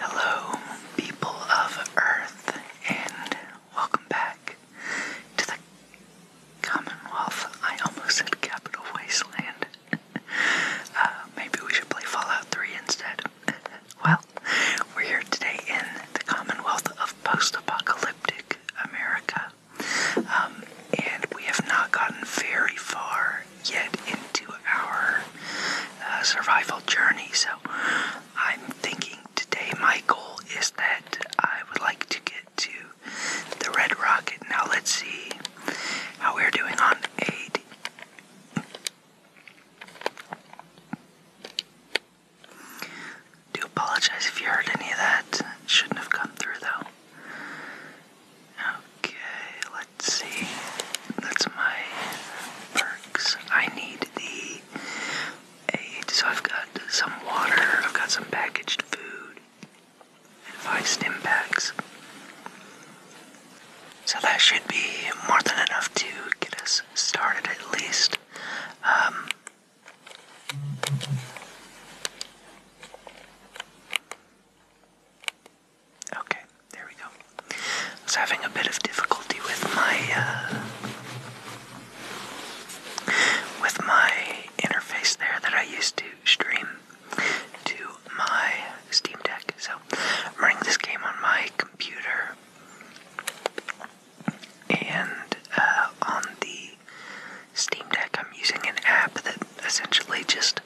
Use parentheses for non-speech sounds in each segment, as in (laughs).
Hello, people of Earth, and welcome back to the Commonwealth. I almost said Capital Wasteland. (laughs) Uh, maybe we should play Fallout 3 instead. (laughs) well, we're here today in the Commonwealth of Post Apocalyptic America, um, and we have not gotten very far yet into our uh, survival journey. So I'm thinking today my goal is that I would like to get to the Red Rocket. Now let's see how we're doing on eight. Do apologize if you heard any of that. It shouldn't have come through though. Okay, let's see. That's my bird. I need the aid. So I've got some water, I've got some packaged food, and five stim packs. So that should be more than enough to get us started at least. Um, Okay, there we go. I was having a bit of difficulty with my uh, with my interface there that I used to stream to my Steam Deck. So I'm running this game on my computer and uh, on the Steam Deck, I'm using an app that essentially just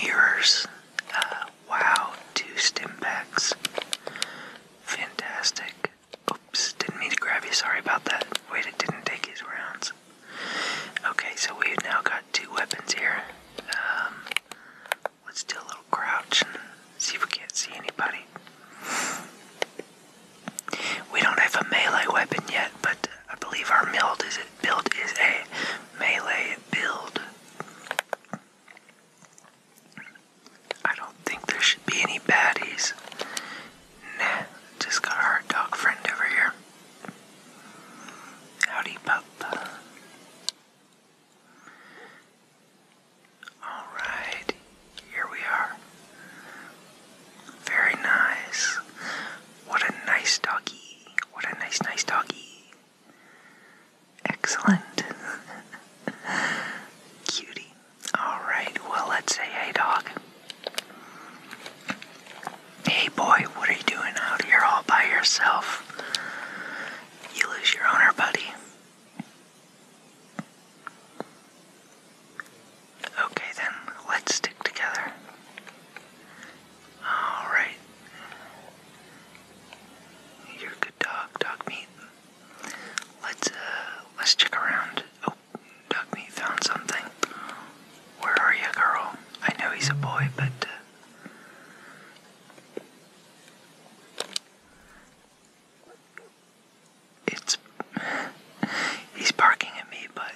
mirrors uh, Wow, two stim packs. Fantastic. Oops, didn't mean to grab you. Sorry about that. Wait, it didn't take his rounds. Okay, so we've now got two weapons here. Um, let's do a little crouch and see if we can't see anybody. We don't have a melee weapon yet, but I believe our build is a, build is a melee build. I don't think there should be any baddies. Nah, just got our dog friend over here. Howdy, pup. Alright, here we are. Very nice. What a nice doggy. What a nice, nice doggy. Excellent. (laughs) Cutie. Alright, well, let's say hey, dog. Hey, boy, what are you doing out here all by yourself? You lose your owner, buddy. Okay, then, let's stick together. Alright. You're a good dog, dog Let's uh, let's check around. Oh, dog found something. Where are you, girl? I know he's a boy, but uh, it's he's barking at me, but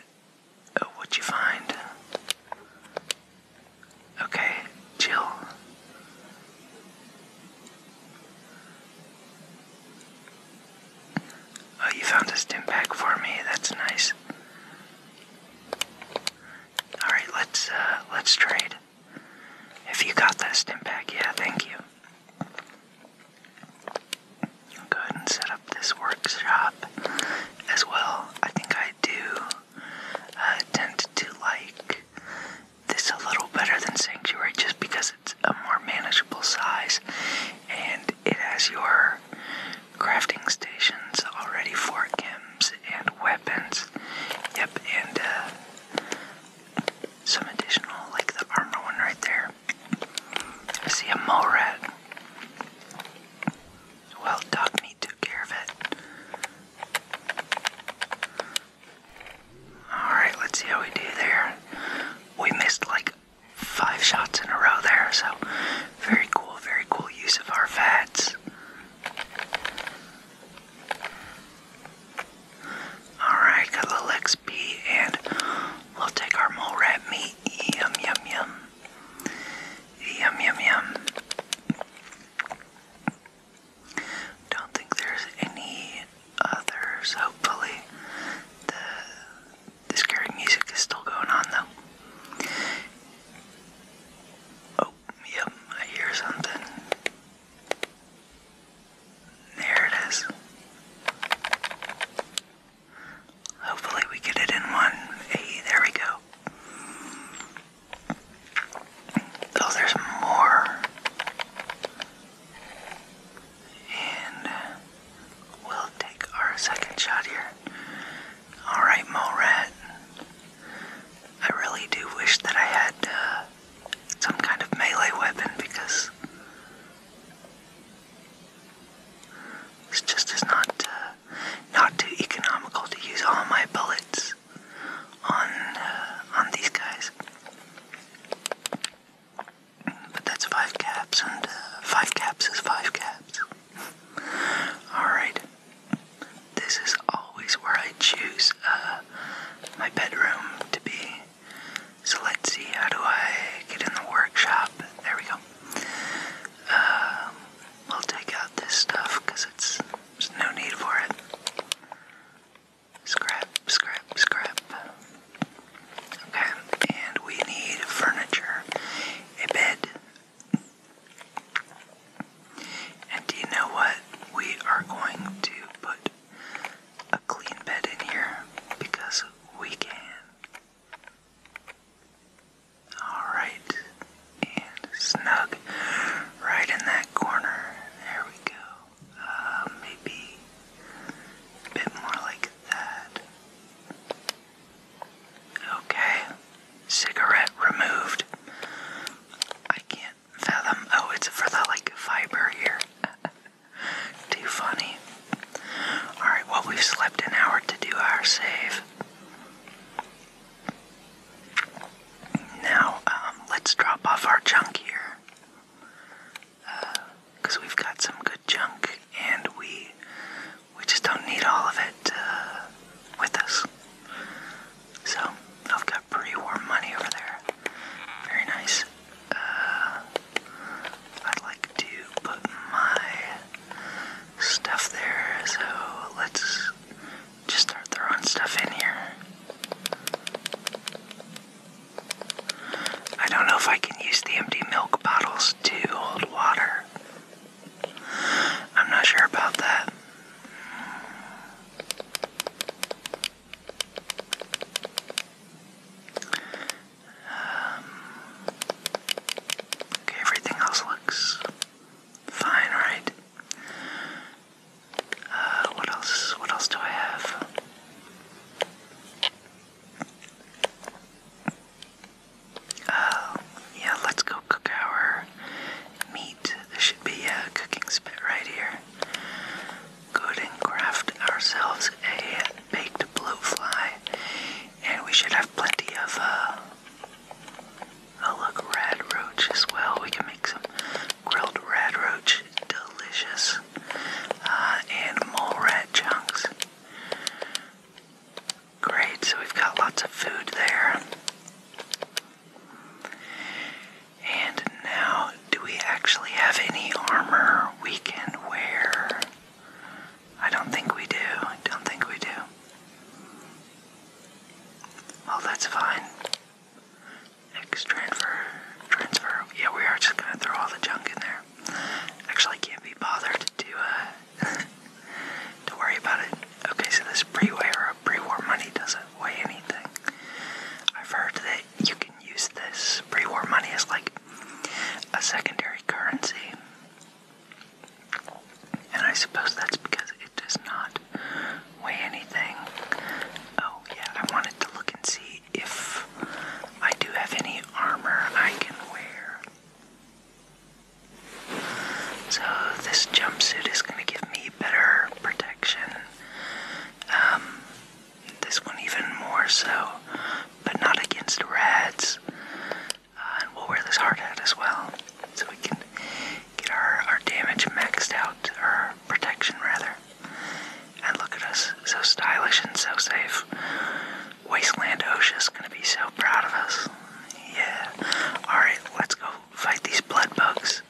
oh, what'd you find? Okay, chill. Oh, you found a stim pack for me. That's nice. All right, let's uh, let's trade. If you got that stim pack, yeah, thank you. go ahead and set up this workshop as well. I think I do uh, tend to like this a little better than Sanctuary just because it's a more manageable size and it has your crafting stations already for chems and weapons. Yep, and uh, some additional, like the armor one right there. I see a mole rat. Well, dog meat Alright, let's see how we do there. We missed like five shots in a row there, so very cool, very cool use of our fads. Alright, got a little XP and we'll take our mole rat meat. Yum, yum, yum. Yum, yum, yum. Don't think there's any others. Hopefully, the the scary music is still going on though. Oh, yep, I hear something. There it is. Hopefully, we get it in one. Hey, there we go. Oh, there's more. And we'll take our second shot here. Alright, Mole I really do wish that I had uh, some kind of melee weapon because it's just as not uh, not too economical to use all my bullets on on these guys. But that's five caps, and uh, five caps is five caps. Alright. This is always where I choose uh, my bedroom to be. So let's see, how do I get in the workshop? There we go. Um, we'll take out this stuff because it's there's no need for it. Scrap, scrap, scrap. Okay, and we need furniture. A bed. And do you know what? We are going to put a clean bed in here because we can. Alright, and snug right in that corner. There we go. Uh, maybe a bit more like that. Okay, cigarette removed. I can't fathom. Oh, it's for the like fiber here. (laughs) Too funny. Alright, well, we've slept an hour to do our save. Now, um, let's drop off our junk here. Because uh, we've got some good junk and we we just don't need all of it uh, with us. So, I've got pretty warm money over there. Very nice. Uh, I'd like to put my stuff there, so let's just start throwing stuff in here. I don't know if I can use the empty milk bottles to hold water. I'm not sure about that. Um, everything else looks fine, right? Uh, what else? What else do I have? Uh, yeah, let's go cook our meat. There should be a cooking spit right here. Good and craft ourselves a baked blue fly, and we should have plenty of uh, Oh look, rad roach as well. We can make some grilled rad roach, delicious, uh, and mole rat chunks. Great, so we've got lots of food there. And now, do we actually have any armor we can wear? I don't think we do. I don't think we do. Well, that's fine. X transfer, transfer. Yeah, we are just gonna throw all the junk in there. Actually, I can't be bothered to do uh, (laughs) to worry about it. Okay, so this pre-war pre-war money doesn't weigh anything. I've heard that you can use this pre-war money as like a secondary currency, and I suppose that's because it does not weigh anything. Oh, yeah, I wanted to look and see if I do have any armor I can wear. So, this jumpsuit is going to give me better protection. Um, this one even more so, but not against rats. Uh, and we'll wear this hard hat as well, so we can get our, our damage maxed out, or protection rather. And look at us, so stylish and so safe. Wasteland is gonna be so proud of us. Yeah. Alright, let's go fight these blood bugs.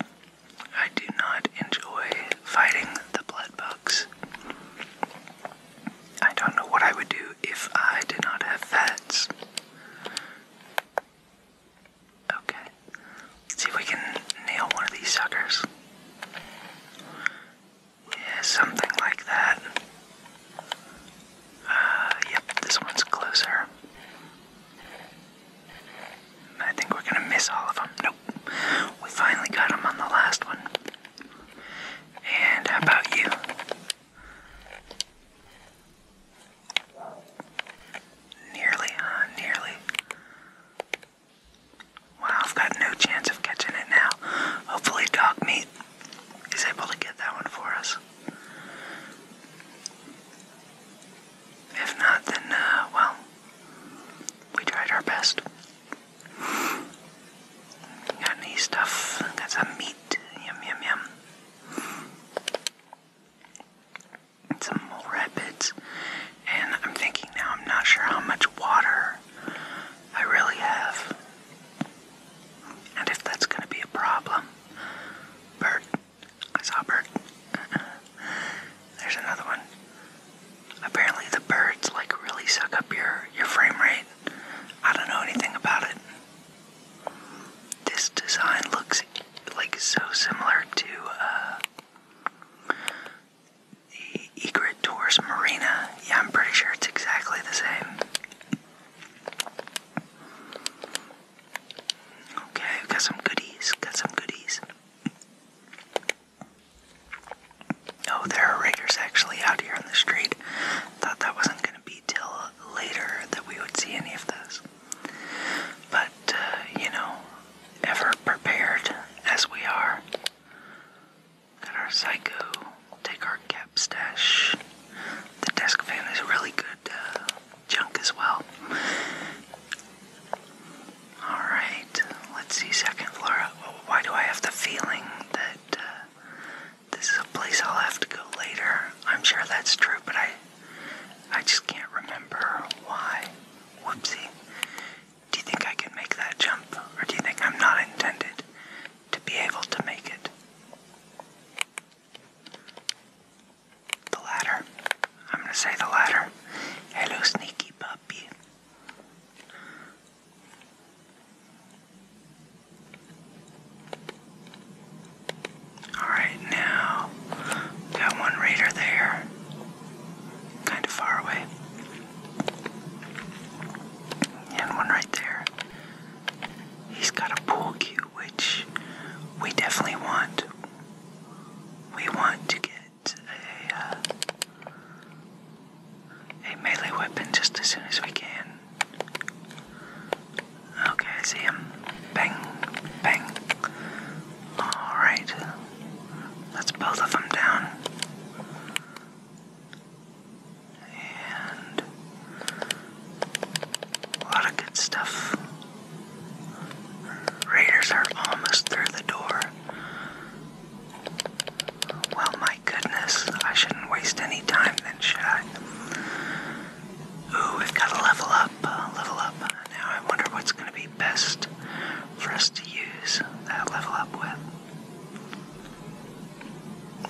I do not enjoy fighting the blood bugs. I don't know what I would do if I did not have fats. Okay. Let's see if we can nail one of these suckers. Yeah, something like that. Uh, yep, this one's closer. I think we're gonna miss all of them. Nope. We finally got them on the last one. And how about you? Nearly, Nearly. Wow, I've got no chance of catching it now. Hopefully, Dog Meat is able to get that one for us. If not, then, uh, well, we tried our best. Got any stuff? Got some meat. Yum, yum, yum. It's a more rapids. And I'm thinking now, I'm not sure how much water I really have. And if that's going to be a problem. Bird. I saw a (laughs) bird. There's another one. Apparently the birds like really suck up your, your frame rate. I don't know anything about it. This design looks like so similar to uh, the Egret Tours Marina. Yeah, I'm pretty sure it's exactly the same. Okay, got some goodies, got some goodies. Oh, there are riggers actually out here on the street. Thought that wasn't going to be till later that we would see any of this. But, uh, you know, ever prepared as we are. Got our Psycho, take our cap stash. The desk fan is really good uh, junk as well. Alright, let's see second floor. Why do I have the feeling that uh, this is a place I'll have to go later? I'm sure that's true, but I I just can't remember why. Whoopsie. Do you think I can make that jump, or do you think I'm not intended to be able to make it? The latter. I'm gonna say the latter. Hello, sneaky puppy. Alright, now got one raider there. Kind of far away. And one right there. He's got a pool cue, which we definitely want. We want to get a, uh, a melee weapon just as soon as we can. Okay, I see him. Bang, bang. Alright. That's both of them down. And a lot of good stuff. Raiders are almost through the door. Well, my goodness, I shouldn't waste any time then, should I? Ooh, we've got to level up, uh, level up. Now I wonder what's going to be best for us to use that level up with.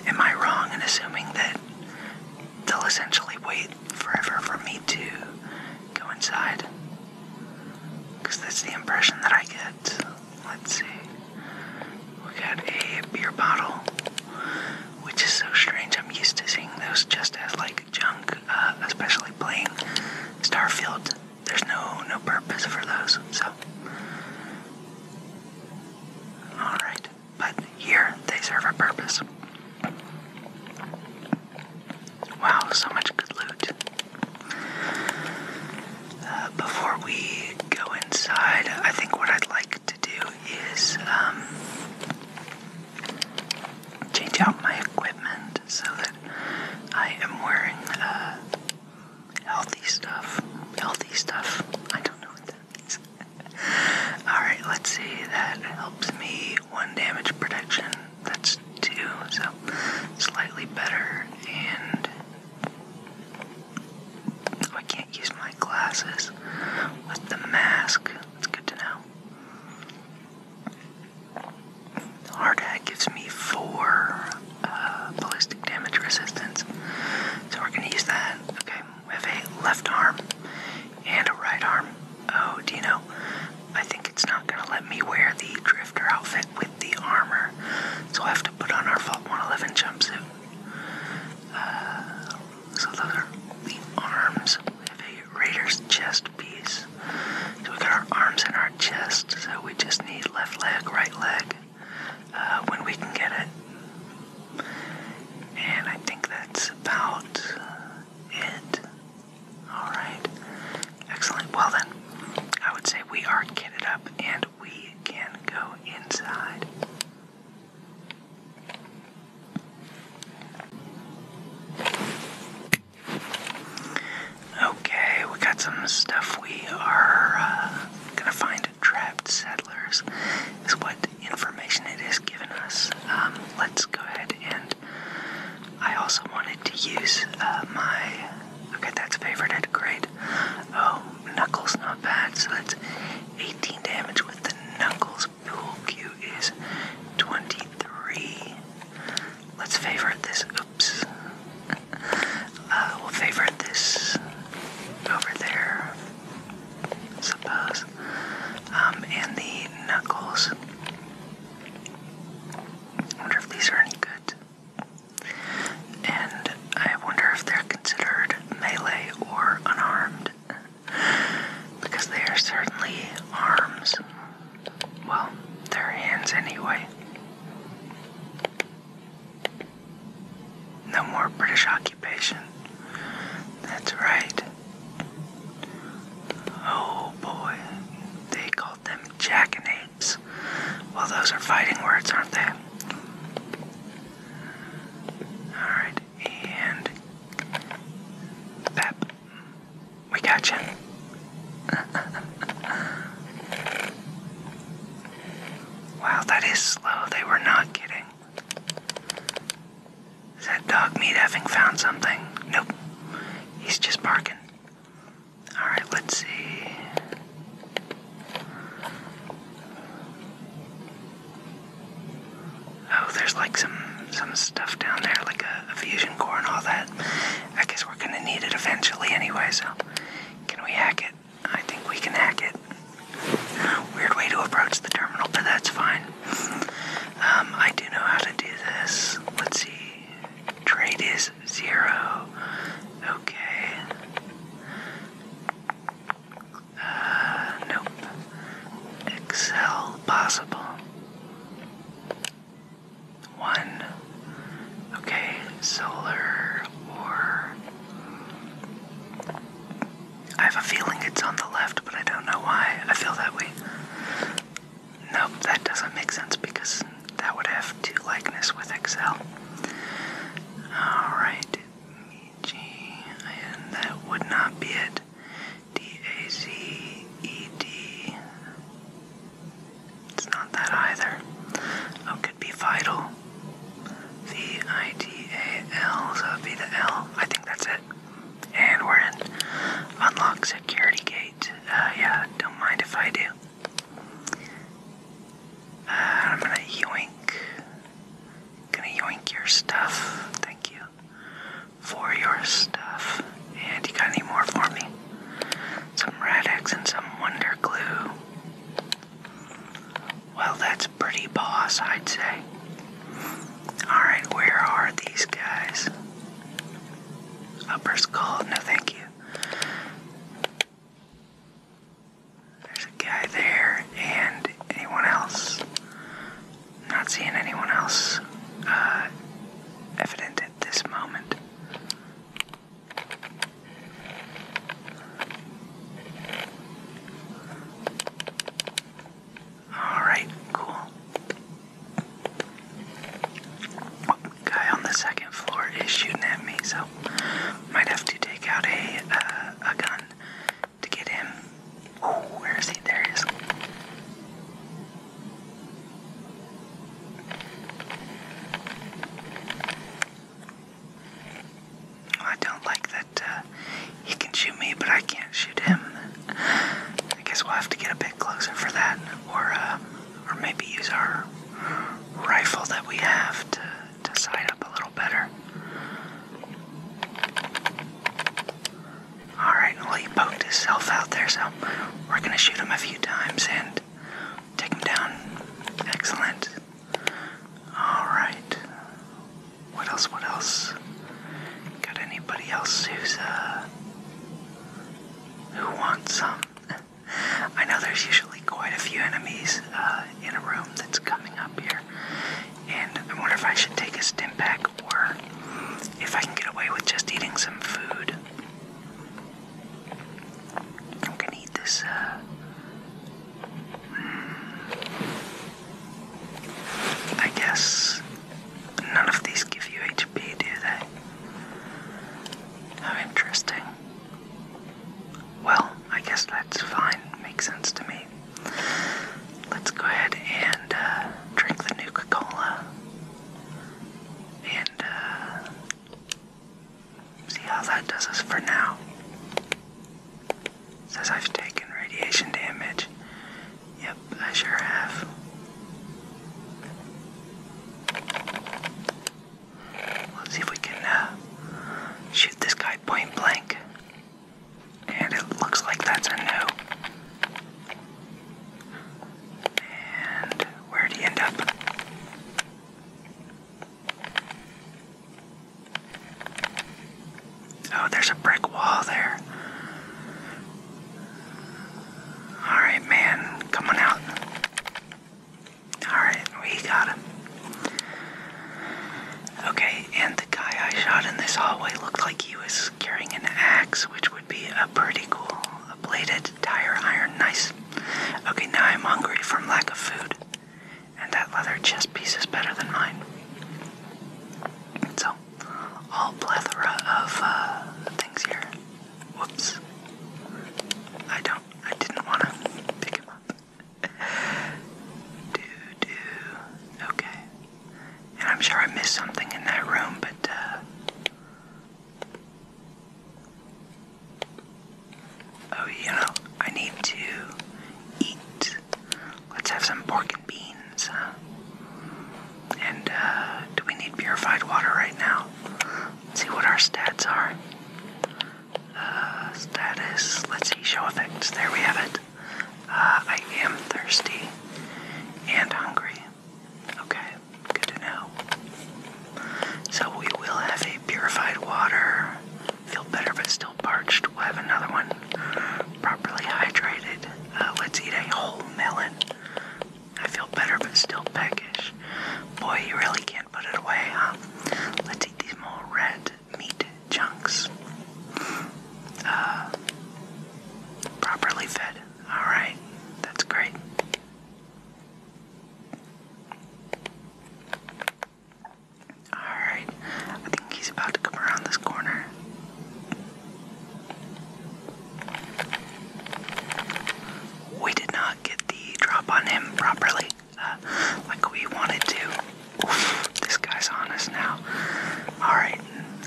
Am I wrong in assuming that they'll essentially wait forever for me to go inside? Because that's the impression that I get. Let's see. We got a beer bottle, which is so strange. I'm used to seeing those just as like big chunk, uh, especially playing Starfield. There's no no purpose for those. So, all right, but here they serve a purpose. Wow, so much good loot. Uh, before we go inside, I think what I'd like to do is um, change out my equipment so that I am wearing uh, healthy stuff. Healthy stuff. I don't know what that means. (laughs) Alright, let's see. That helps me. One damage protection. That's two, so slightly better. And oh, I can't use my glasses with the mask. That's good to know. The hard hat gives me four uh, ballistic damage resistance. So we're going to use that. Okay, we have a left arm and a right arm. Oh, do you know? I think it's not going to let me wear the drifter outfit with the armor. So I have to put on our Vault 111 jumpsuit. Uh, so those are the arms. We have a Raiders chest piece. So we got our arms in our chest, so we just need left leg, right leg, uh, when we can get it. And I think that's about it. Alright. Excellent. Well then, I would say we are kitted up and we can go inside. Okay, we got some stuff. We are uh, gonna find trapped settlers, is what information it has given us. Um, let's go ahead and I also wanted to use uh, my. Okay, that's favored. favorited. Great. Oh, knuckles, not bad. So that's 18 damage with the knuckles. Bills. Pool Q is 23. Let's favorite this. Oops. uh, will favorite this over there, suppose. Um, and the knuckles. I wonder if these are any good. And I wonder if they're considered melee or unarmed. Because they are certainly arms. Well, their hands anyway. No more British occupation. That's right. Oh boy, they called them jackanapes. Well, those are fighting words, aren't they? Alright, and Pep. We got you. wow, that is slow. They were not kidding. Is that dog meat having found something? Nope. He's just barking. Alright, let's see. Oh, there's like some some stuff down there, like a, fusion core and all that. I guess we're gonna need it eventually anyway, so can we hack it? I think we can hack it. Weird way to approach the terminal, but that's fine. Um, I do know how to do this. Let's see. Trade is zero. Okay. Uh, nope. Excel possible. One. Okay, solar or. I have a feeling it's on the left, but I don't know why. I feel that way. Nope, that doesn't make sense because that would have two likeness with Excel. Alright, G, and that would not be it. D-A-Z-E-D. It's not that either. Oh, could be vital. V-I-D-A-L, so that'd be the L. I think that's it. And we're in. Unlock security gate. Uh, yeah, don't mind if I do. Uh, I'm gonna yoink. Gonna yoink your stuff. Thank you for your stuff. And you got any more for me? Some Radex and some Wonder Glue. Well, that's pretty boss, I'd say. Alright, where are these guys? Upper Skull, no thank you. There's a guy there, and anyone else? not seeing anyone else uh, evident at this moment. All right, cool. guy on the second floor is shooting at me, so might have to take out a uh, a gun to get him. Oh, where is he? There he is. I don't like that uh, he can shoot me, but I can't shoot him. I guess we'll have to get a bit closer for that, or uh, or maybe use our rifle that we have to to side up a little better. Alright, well, he poked himself out there, so we're gonna shoot him a few times and take him down. Excellent. Alright. What else? What else? Got anybody else who's, uh, who wants some? (laughs) I know there's usually quite a few enemies uh, in a room that's coming up here, and I wonder if I should take a stim pack or if I can get away with just eating some food, I'm gonna eat this. Uh, I guess none of these give you HP, do they? How interesting. Well, I guess that's fine. Makes sense to me. Let's go ahead and uh, drink the new coca Cola and uh, see how that does us for now. says I've taken radiation damage. Yep, I sure have. Let's see if we can uh, shoot this guy point blank. And it looks like that's a no. And where'd he end up? Oh, there's a brick wall there. Alright, man, come on out. Alright, we got him. Okay, and the guy I shot in this hallway looked like he was carrying an axe, which would be a pretty cool a bladed tire iron, nice. Okay, now I'm hungry from lack of food. And that leather chest piece is better than mine. So, all plethora of uh, things here. Whoops. I don't, I didn't want to pick him up. do, do. Okay. And I'm sure I missed something in that room, but uh, Oh, you know, I need to eat. Let's have some pork and beans, And, uh, do we need purified water right now? Let's see what our stats are. Uh, status, let's see, show effects. There we have it. Uh, I am thirsty and hungry. Okay. Good to know. So we will have a purified water. Feel better but still parched. We'll have another one properly hydrated. Uh, let's eat a whole melon. I feel better but still peckish. Boy, you really can't put it away, huh? Let's eat these more red meat chunks. Uh, properly fed. All right, that's great. Alright, I think he's about to come around this corner. We did not get the drop on him properly, uh, like we wanted to. this guy's on us now. Alright,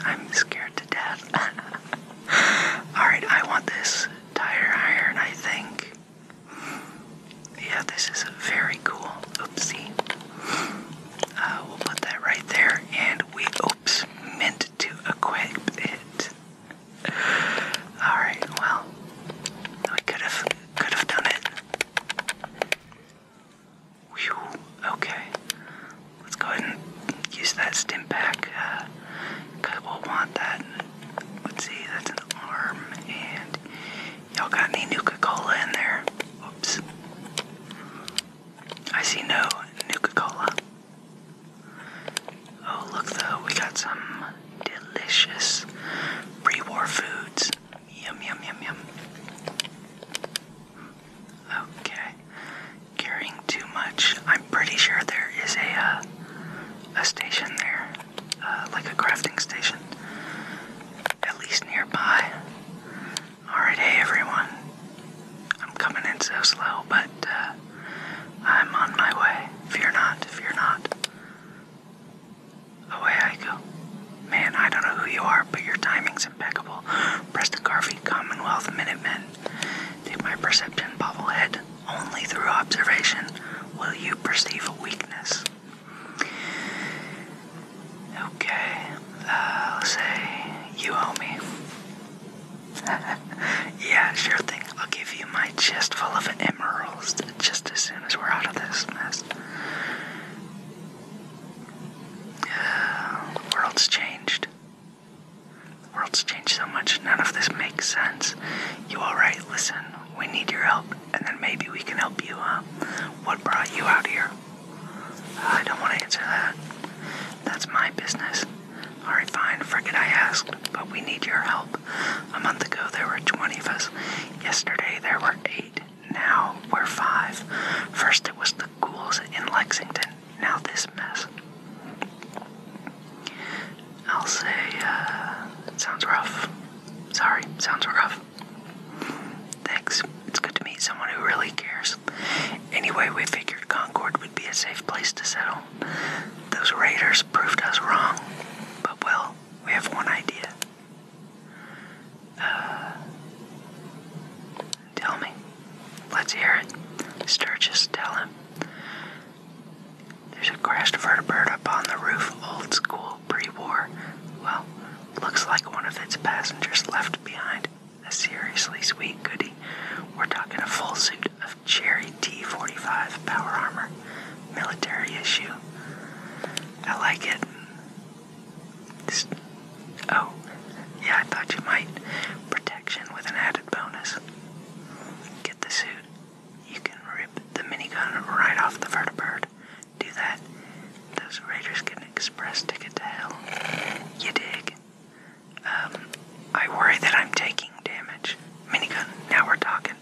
I'm scared to death. (laughs) (sighs) Alright, I want this tire iron, I think. Yeah, this is very cool. Oopsie. Uh, we'll put that right there, and we, oops, meant to equip it. (sighs) Alright, well, we could have, could have done it. okay let's go ahead and use that stim pack because uh, we'll want that. Let's see, that's an arm, and y'all got any Nuka Cola in there? Oops. I see no Nuka Cola. Oh, look, though, we got some delicious pre war foods. Yum, yum, yum, yum. Okay carrying too much. I'm pretty sure there is a uh, a station there, uh, like a crafting station, at least nearby. All right, hey everyone. I'm coming in so slow, but uh, I'm on my way. Fear not, fear not. Away I go. Man, I don't know who you are, but your timing's impeccable. Preston Garvey, Commonwealth Minutemen. Through my perception bobblehead, only through observation will you perceive a weakness. Okay, uh, let say you owe me. (laughs) yeah, sure thing. I'll give you my chest full of emeralds just as soon as we're out of this mess. The uh, world's changed. The world's changed so much, none of this makes sense. You alright? Listen, we need your help, and then maybe we can help you, huh? What brought you out here? I don't want to answer that. That's my business. Alright, fine, forget I asked, but we need your help. A month ago, there were 20 of us. Yesterday, there were 8. Now, we're 5. First, it was the ghouls in Lexington. Now this mess. I'll say, uh, sounds rough. Sorry, sounds rough. Thanks. It's good to meet someone who really cares. Anyway, we figured Concord would be a safe place to settle. Those raiders proved us wrong. But, well, we have one idea. Uh, tell me. Let's hear it. Sturgis, tell him. There's a crashed vertibird up on the roof, old school, pre-war. Well, looks like one of its passengers left behind. A seriously sweet goody. We're talking a full suit of Cherry T-45 power armor. Military issue. I like it. oh, yeah, I thought you might. Protection with an added bonus get the suit, you can rip the minigun right off the vertibird. Do that. Those raiders get an express ticket to hell. You dig? Um, I worry that I'm taking damage. Minigun, now we're talking.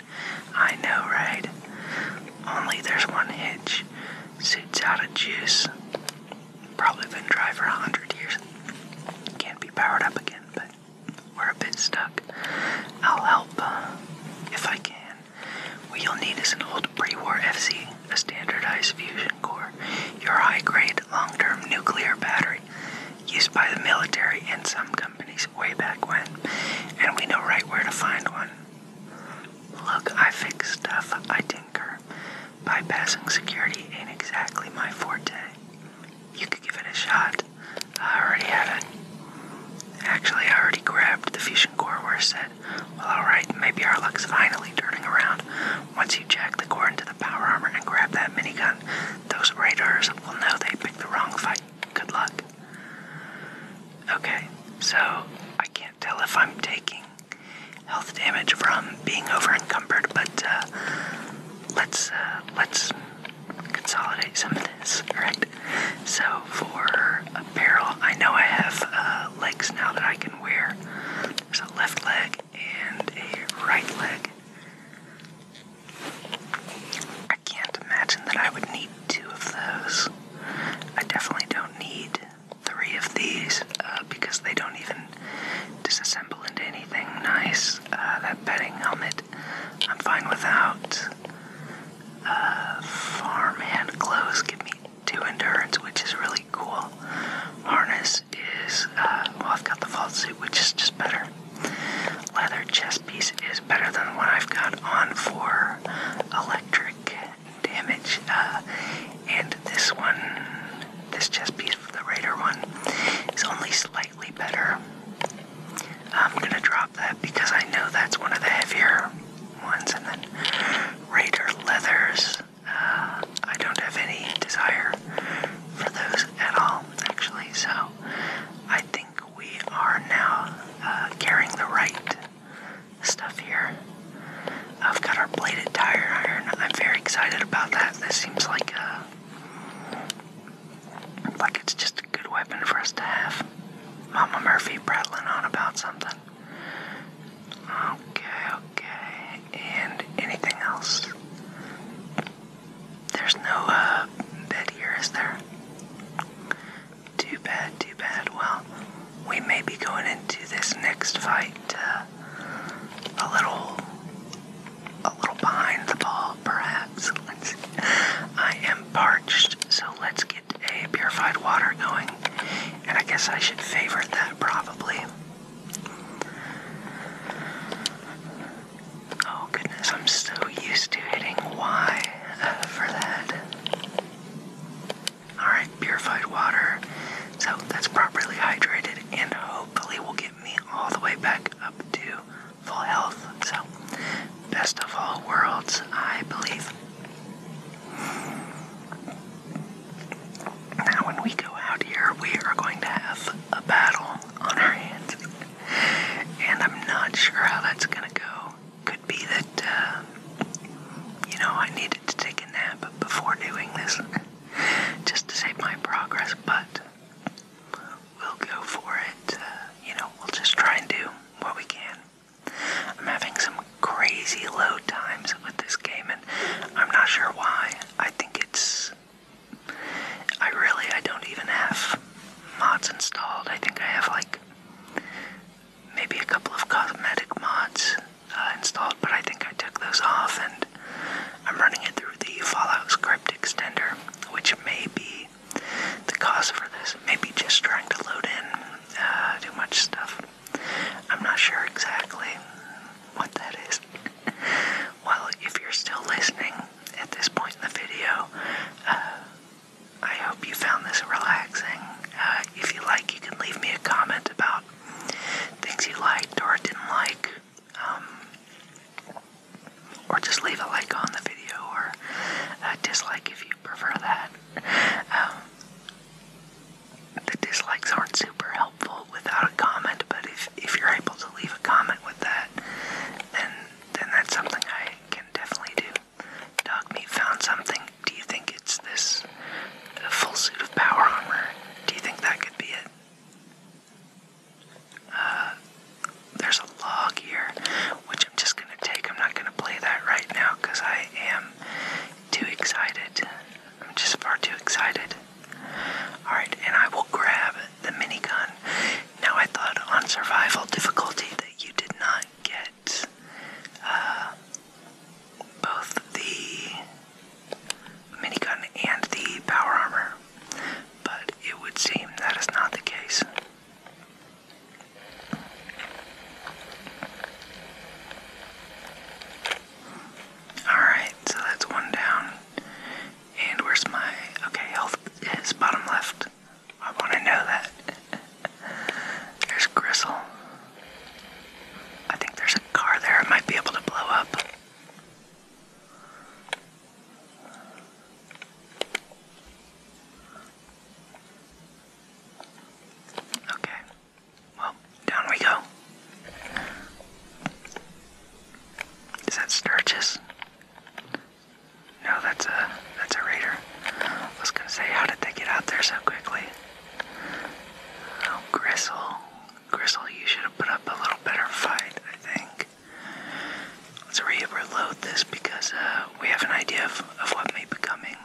I know, right? Only there's one hitch. Suit's out of juice. Probably been dry for a hundred years. Can't be powered up again, but we're a bit stuck. I'll help uh, if I can. What you'll need is an old pre-war FC, a standardized fusion core, your high-grade long-term nuclear battery used by the military and some companies way back when, and we know right where to find one. Look, I fix stuff, I tinker. Bypassing security ain't exactly my forte. You could give it a shot. I already have it. Actually, I already grabbed the fusion core where I said, well, alright, maybe our luck's finally turning around. Once you jack the core into the power armor and grab that mini gun, those raiders will know they picked the wrong fight. Good luck. Okay, so I can't tell if I'm taking health damage from being overencumbered, but uh, let's uh, let's consolidate some of this. All right. So for apparel, I know I have uh, legs now that I can wear. There's a left leg and a right leg. I can't imagine that I would need two of those. I definitely don't need three of these uh, because they don't even disassemble into anything nice. Uh, that bedding helmet, I'm fine without. Uh, farmhand clothes give me two endurance, which is really cool. Harness is, uh, well, I've got the vault suit, which is just better. Leather chest piece is better than what I've got on for electric damage. Uh, and this one this chest piece for the Raider one is only slightly better. I'm gonna drop that because I know that's one of the heavier ones. And then Raider leathers, uh, I don't have any desire for those at all, actually. So I think we are now uh, carrying the right stuff here. I've got our bladed tire iron. I'm very excited about that. This seems like a like it's just a good weapon for us to have. Mama Murphy prattling on about something. Okay, okay. And anything else? There's no uh, bed here, is there? Too bad, too bad. Well, we may be going into this next fight uh, a little a little behind the ball, perhaps. Let's, I am parched, so let's get a purified water going. And I guess I should favorite that probably. Oh goodness, I'm so used to hitting Y uh, for that. Alright, purified water. So that's properly hydrated, and hopefully, we'll get me all the way back up to full health. So, best of all worlds, I believe. Now, when we go out here, we are going to have a battle on our hands. And I'm not sure how that's going to go. Could be that, uh, you know, I needed to take a nap before doing this just to save my progress, but we'll go for it. Uh, you know, we'll just try and do what we can. I'm having some crazy load times with this game, and I'm not sure why. I think it's. I really, I don't even have mods installed. I think I have like maybe a couple of cosmetic mods uh, installed, but I think I took those off, and I'm running it through the Fallout script extender, which may be the cause for this. Maybe just trying to load in uh, too much stuff. I'm not sure exactly what that is. well, if you're still listening at this point in the video, uh, I hope you found this relaxing. Uh, if you like, you can leave me a comment about things you liked or didn't like, um, or just leave a like on the video or a dislike if you prefer that. Um, the dislikes aren't super helpful without a comment, but if, if you're able to leave a comment with that, then, then that's something I can definitely do. Dog found something. Do you think it's this full suit of power armor? Do you think that could be it? Uh, there's a log here, which I'm just gonna take. I'm not gonna play that right now because I am too excited. I'm just far too excited. Alright, and I will grab the minigun. Now, I thought on survival difficulty that you did not get uh, both the minigun and the power armor but it would seem that is not the case. Alright, so that's one down. And where's my. Okay, health is bottom left. I want to know that. (laughs) there's Gristle. I think there's a car there I might be able to blow up. Okay. Well, down we go. Is that Sturges? No, that's a that's a raider. I was gonna say, how did they get out there so quickly? Oh, Gristle, Gristle, you should have put up a little better fight, I think back. Let's re this because uh, we have an idea of, of what may be coming.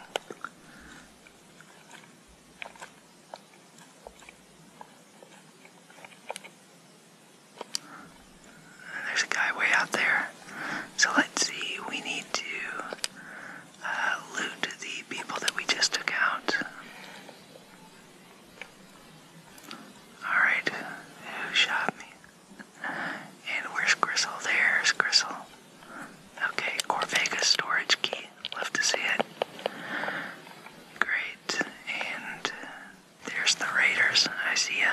There's a guy way out there. So let's see, we need to uh, loot the people that we just took out. Alright, who shot me? And where's Gristle? There's Gristle. Okay, Corvega storage key. Love to see it. Great. And there's the Raiders. I see ya.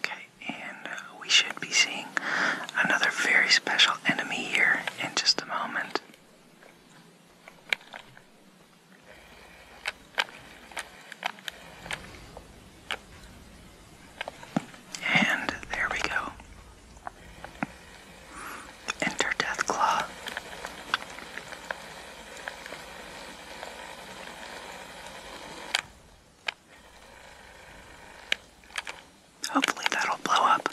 Okay, and uh, we should be seeing another very special enemy here in just a moment. And there we go. Enter Deathclaw. Hopefully that'll blow up.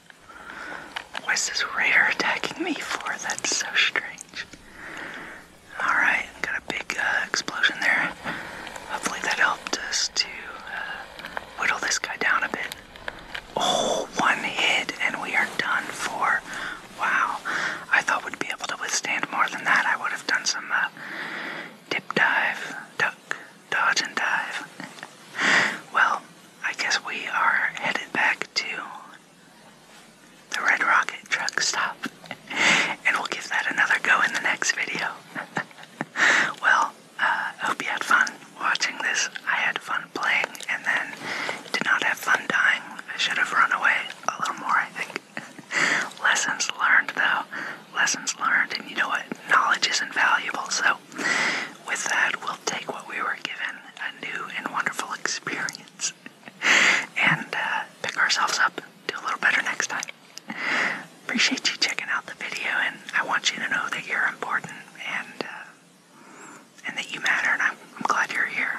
What is is this raider attacking me for? That's so strange. Alright, got a big uh, explosion there. Hopefully that helped us to uh, whittle this guy down a bit. Oh, one hit and we are done for. Wow. I thought we'd be able to withstand more than that. I would have done some uh, dip dive, duck, dodge, and dive. (laughs) well, I guess we are headed back to the Red Rocket truck stop. (laughs) and we'll give that another go in the next video. (laughs) well, I uh, hope you had fun watching this. I had fun playing and then did not have fun dying. I should have run away a little more, I think. (laughs) Lessons learned, though. Lessons learned, and you know what? Knowledge is invaluable, so with that, we'll take what we were given a new and wonderful experience (laughs) and uh, pick ourselves up, do a little better next time. Appreciate you checking out the video, and I want you to know that you're important and uh, and that you matter, and I'm glad you're here.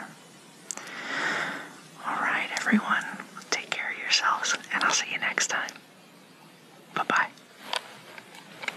All right, everyone, take care of yourselves, and I'll see you next time. Bye bye.